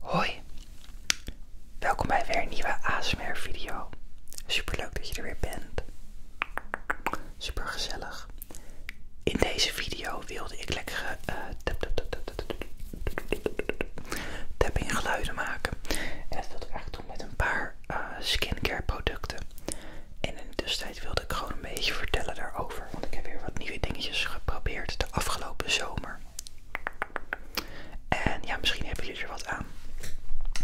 Hoi, welkom bij weer een nieuwe ASMR video. Super leuk dat je er weer bent. Super gezellig. In deze video wilde ik lekkere uh, tapping geluiden maken. En dat wilde ik eigenlijk doen met een paar skincare producten. En in de tussentijd wilde ik gewoon een beetje vertellen daarover. Want ik heb weer wat nieuwe dingetjes geprobeerd de afgelopen zomer. En ja, misschien hebben jullie er wat aan.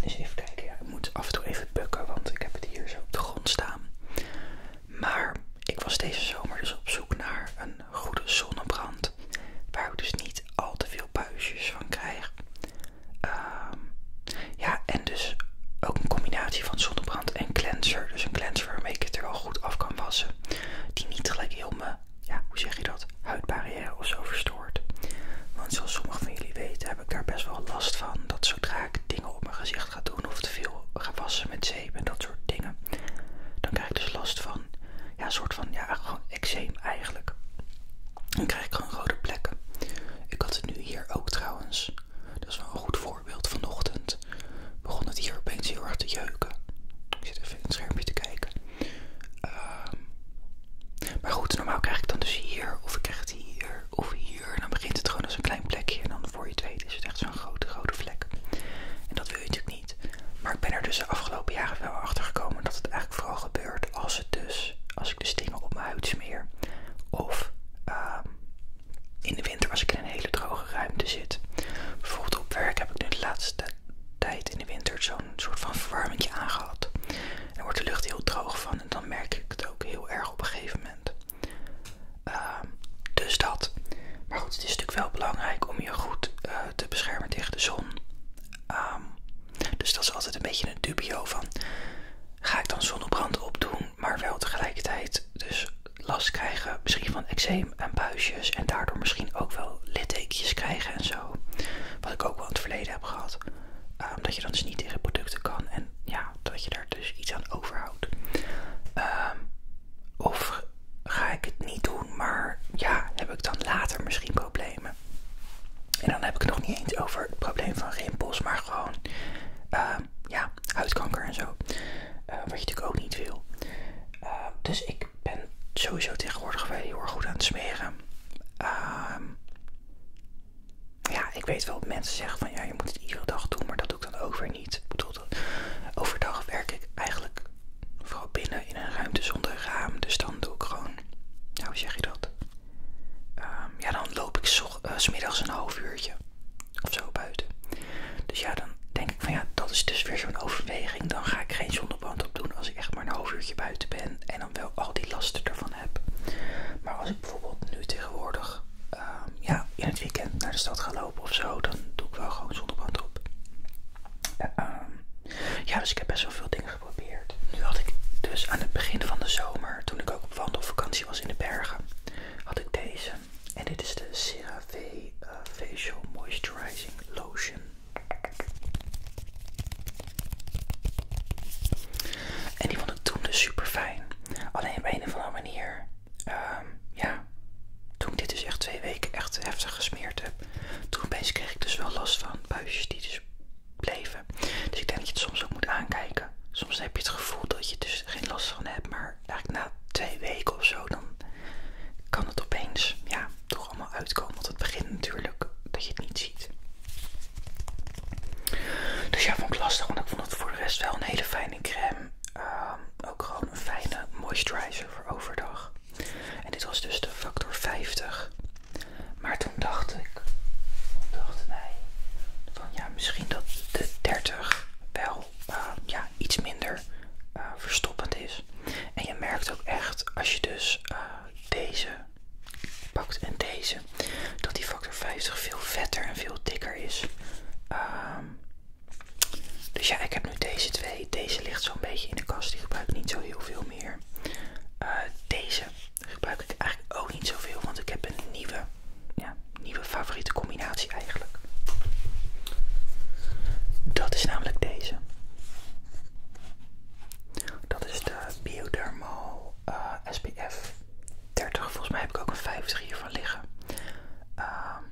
Dus even kijken. ik moet af en toe even bukken, want ik heb het hier zo op de grond staan. Maar ik was deze zomer dus op zoek naar een goede zonnebrand. Waar ik dus niet al te veel buisjes van krijg. Ehm, ja, en dus ook een combinatie van zonnebrand en cleanser. Dus een cleanser waarmee ik het er wel goed af kan wassen. Die niet gelijk heel mijn ja, hoe zeg je dat, huidbarrière of zo verstoord. Want zoals sommige van jullie weten heb ik daar best wel last van. Dat zodra ik dingen op mijn gezicht ga doen of te veel ga wassen met zeep en dat soort dingen. Dan krijg ik dus last van, ja, soort van, ja, gewoon eczeem eigenlijk. Dan krijg ik gewoon rode plekken. Ik had het nu hier ook trouwens. Dat is wel een goed voorbeeld. Vanochtend begon het hier opeens heel erg te jeuken. Ik zit even het schermpje te kijken. Ehm, maar goed, normaal krijg ik dan dus hier, of ik krijg het hier, of hier. En dan begint het gewoon als een klein plekje. En dan voor je het weet is het echt zo'n grote, grote vlek. En dat wil je natuurlijk niet. Maar ik ben er dus de afgelopen jaren wel achter gekomen dat het eigenlijk vooral gebeurt als het dus, als ik de dus dingen op mijn huid smeer. Of ehm, in de winter als ik in een hele droge ruimte zit. Bijvoorbeeld op werk heb ik nu de laatste tijd in de winter zo'n soort van verwarming aangehad. er daar wordt de lucht heel droog van en dan merk ik het ook heel erg op een gegeven moment. Ehm, dus dat. Maar goed, het is natuurlijk wel belangrijk om je goed eh, te beschermen tegen de zon. Ehm, dus dat is altijd een beetje een dubio van ga ik dan zonnebrand opdoen, maar wel tegelijkertijd dus last krijgen misschien van eczeem en buisjes en daardoor misschien ook wel littekens krijgen en zo. Wat ik ook wel in het verleden heb gehad. Ehm, dat je dan dus niet tegen producten kan en ja, dat je daar dus iets aan overhoudt. Ehm, of ga ik het niet doen, maar ja, heb ik dan later misschien problemen. En dan heb ik het nog niet eens over het probleem van rimpels, maar gewoon ehm, ja, huidkanker en zo. wat je natuurlijk ook niet wil. dus ik ik ben sowieso tegenwoordig wel heel erg goed aan het smeren. Ehm, ja, ik weet wel dat mensen zeggen van ja, je moet het iedere dag doen, maar dat doe ik dan ook weer niet. Ik bedoel, overdag werk ik eigenlijk vooral binnen in een ruimte zonder raam. Dus dan doe ik gewoon, hoe zeg je dat? Ehm, ja, dan loop ik zo, eh, smiddags een half uurtje of zo buiten. Dus ja, dan denk ik ja, dat is dus weer zo'n overweging. Dan ga ik geen zonneband op doen als ik echt maar een half uurtje buiten ben en dan wel al die lasten ervan heb. Maar als ik bijvoorbeeld nu tegenwoordig ehm, ja, in het weekend naar de stad ga lopen of zo, dan doe ik wel gewoon zonneband op. Ehm, ja, dus ik heb best wel veel dingen geprobeerd. Nu had ik dus aan het begin van de zomer, toen ik ook op wandelvakantie was in de bergen, had ik deze. En dit is de CeraVe eh, Facial Moisturizing Lotion. En die vond ik toen dus super fijn. Alleen op een of andere manier, ehm, ja, toen ik dit dus echt twee weken echt heftig gesmeerd heb, toen opeens kreeg ik dus wel last van buisjes die dus bleven. Dus ik denk dat je het soms ook moet aankijken. Soms heb je het gevoel dat je dus geen last van hebt, maar eigenlijk na twee weken of zo, dan kan het opeens, ja, toch allemaal uitkomen. Want het begint natuurlijk dat je het niet ziet. Dus ja, vond ik lastig. Want ik vond het voor de rest wel een hele fijne crème. Ehm, ook gewoon een fijne moisturizer voor overdag. En dit was dus de factor 50. Maar toen dacht ik, dachten wij, van ja, misschien dat de 30 wel ehm, ja, iets minder eh, verstoppend is. En je merkt ook echt als je dus eh, deze pakt en deze, dat die factor 50 veel vetter en veel dikker is. Ehm, dus ja, ik heb nu deze twee. Deze ligt zo'n beetje in de kast. Die gebruik ik niet zo heel veel meer. Eh, deze gebruik ik eigenlijk ook niet zo veel, want ik heb een nieuwe, ja, nieuwe favoriete combinatie eigenlijk. Dat is namelijk deze. Dat is de Bioderma eh, SPF 30. Volgens mij heb ik ook een 50 hiervan liggen. Ehm,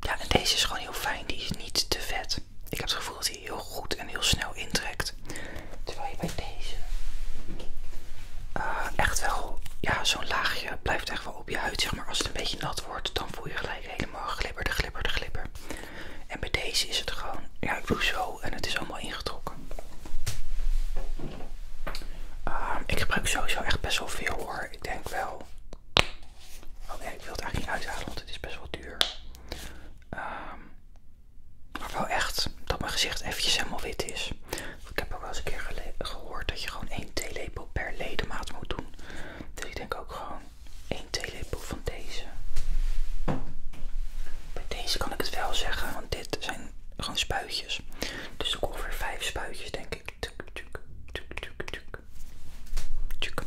ja, en deze is gewoon heel fijn. Die is niet te vet. Ik heb het gevoel dat hij heel goed en heel snel intrekt. Terwijl je bij deze eh, echt wel, ja, zo'n laagje blijft echt wel op je huid. Zeg maar, als het een beetje nat wordt, dan voel je gelijk helemaal glibberig, de glipper, en bij deze is het gewoon, ja ik doe zo en het is allemaal ingetrokken. Ehm, ik gebruik sowieso echt best wel veel hoor. Ik denk wel. Oh nee, ik wil het eigenlijk niet uithalen, want het is best wel duur. Ehm, maar wel echt dat mijn gezicht eventjes helemaal wit is. Ik heb ook wel eens een keer gehoord dat je gewoon één theelepel per ledemaat moet doen. Dus ik denk ook gewoon, één theelepel van deze. Bij deze kan ik het wel zeggen, want dit zijn gewoon spuitjes. Dus ik ongeveer vijf spuitjes, denk ik. Tuk, tuk, tuk, tuk, tuk. Tuk.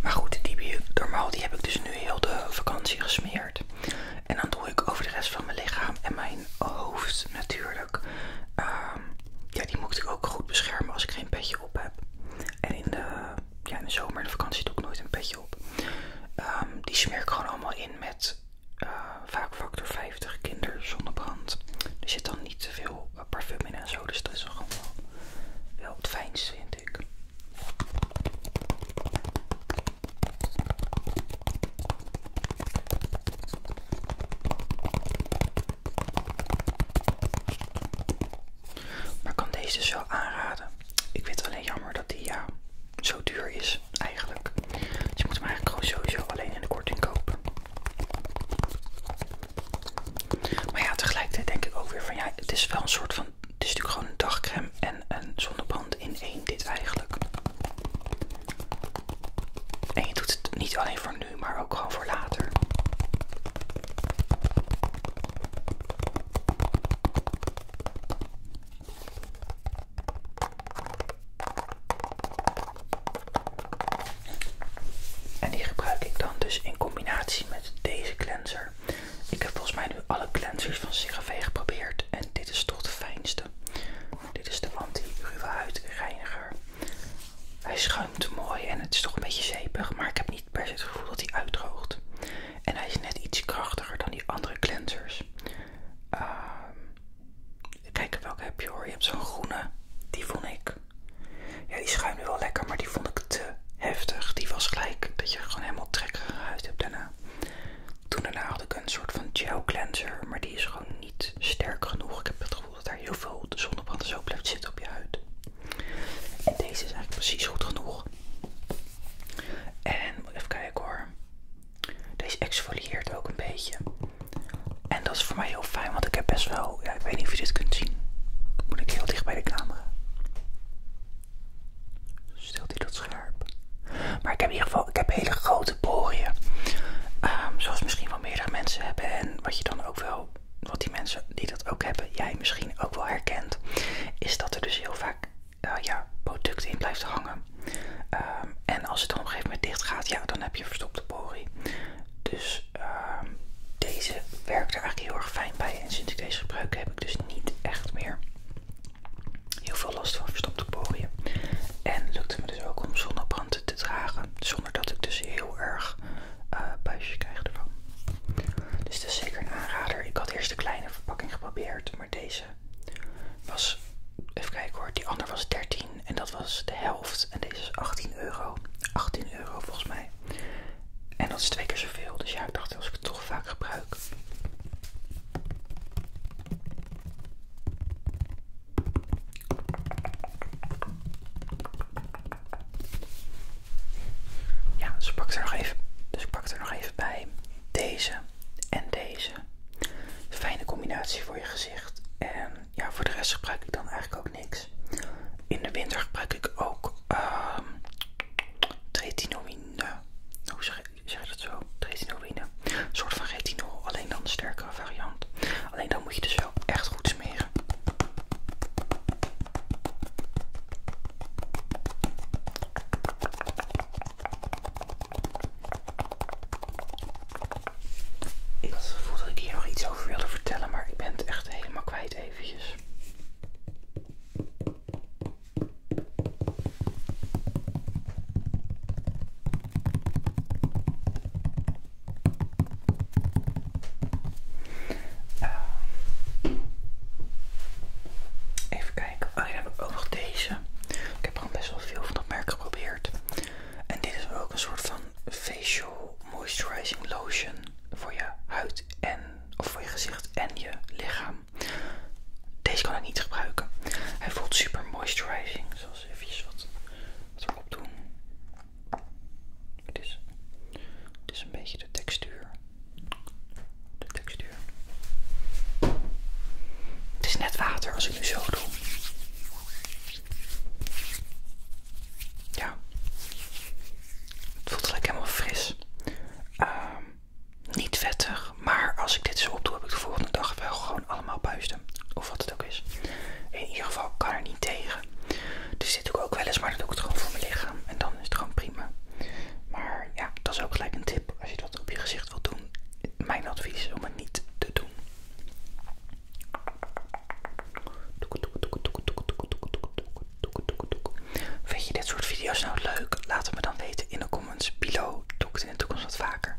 Maar goed, die normaal die heb ik dus nu heel de vakantie gesmeerd. En dan doe ik over de rest van mijn lichaam en mijn hoofd natuurlijk. Ehm, ja, die moet ik ook goed beschermen als ik geen petje op heb. En in de, ja, in de zomer en de vakantie doe ik nooit een petje op. Ehm, die smeer ik gewoon allemaal in met eh, vaak factor 50 kinderzonnebrand. Er zit dan niet te veel eh, parfum in en zo, dus dat is wel, wel het fijnste, vind ik. Maar kan deze dus wel aanraden. Ik vind alleen jammer dat die zo duur is eigenlijk. Dus je moet hem eigenlijk gewoon sowieso alleen in de korting kopen. Maar ja, tegelijkertijd denk ik ook weer van ja, het is wel een soort van. Het is natuurlijk gewoon een dagcreme en een zonnebrand in één dit eigenlijk. En je doet het niet alleen voor nu, maar ook gewoon voor later. En die gebruik ik dan dus in combinatie met deze cleanser. Ik heb volgens mij nu alle cleansers van CeraVe geprobeerd en dit is toch de fijnste. Dit is de anti Ruwe Huidreiniger. Hij schuimt mooi en het is toch een beetje zeepig, maar ik heb niet per se het gevoel dat hij uitdroogt. En hij is net iets krachtiger dan die andere cleansers. Ehm, Kijken welke heb je hoor. Je hebt zo'n groene. Die vond ik. Ja, die schuimde wel lekker, maar die vond ik te heftig. Die was gelijk dat je gewoon helemaal trekkerige huid hebt daarna. Toen daarna had ik een soort van gel cleanser, maar die is gewoon niet sterk genoeg. Ik heb het gevoel dat er heel veel de zonnebrand zo blijft zitten op je huid. En deze is eigenlijk precies goed genoeg. En even kijken hoor. Deze exfolieert ook een beetje. En dat is voor mij heel fijn, want ik heb best wel. Ja, ik weet niet of je dit kunt zien. Moet ik heel dicht bij de camera. Stelt hij dat scherp? Maar ik heb in ieder geval ik heb hele grote poriën. Ehm, zoals misschien meerdere mensen hebben. En wat je dan ook wel, wat die mensen die dat ook hebben, jij misschien ook wel herkent, is dat er dus heel vaak eh, ja, product in blijft hangen. Ehm, en als het dan op een gegeven moment dicht gaat, ja, dan heb je verstopte pori. Dus ehm, deze werkt er eigenlijk heel erg fijn bij. En sinds ik deze gebruik heb ik dus niet echt meer heel veel last van verstopte poriën. En lukt me dus ook om zonnebrand te dragen. Zonder dat ik dus heel erg buisje eh, buisjes krijg ervan. Dus dat is zeker een aanrader. Ik had eerst de kleine verpakking geprobeerd. Maar deze was, even kijken hoor, die andere was 13 en dat was de helft. En deze is 18 euro. 18 euro volgens mij. En dat is twee keer zoveel. Dus ja, ik dacht als ik het toch vaak gebruik. Ja, dus ik pak er nog even, dus ik pak er nog even bij. Deze en deze. Fijne combinatie voor je gezicht. En ja, voor de rest gebruik ik dan eigenlijk ook niks. In de winter gebruik ik ook uh, Hoe zeg, je dat zo? Tretinomine. soort van retinol, alleen dan de sterkere variant. Alleen dan moet je dus wel echt goed smeren. Ik voel dat ik hier nog iets over wilde vertellen, maar ik ben het echt helemaal kwijt eventjes. Eh, even kijken. Oh, dan heb ik ook nog deze. Ik heb gewoon best wel veel van dat merk geprobeerd. En dit is ook een soort van facial moisturizing lotion voor je huid en of voor je gezicht en je lichaam. Deze kan ik niet gebruiken. Hij voelt super moisturizing, zoals eventjes wat wat doen. Het is, het is een beetje de textuur. De textuur. Het is net water als ik nu zo doe. Ja. Het voelt gelijk helemaal fris. Ehm, niet vettig, maar als ik dit zo opdoe heb ik de volgende dag wel gewoon allemaal puisten wat het ook is. In ieder geval kan er niet tegen. Dus dit doe ik ook wel eens, maar dan doe ik het gewoon voor mijn lichaam. En dan is het gewoon prima. Maar ja, dat is ook gelijk een tip. Als je dat op je gezicht wilt doen, mijn advies om het niet te doen. Vind je dit soort video's nou leuk? Laat het me dan weten in de comments. below. doe ik het in de toekomst wat vaker.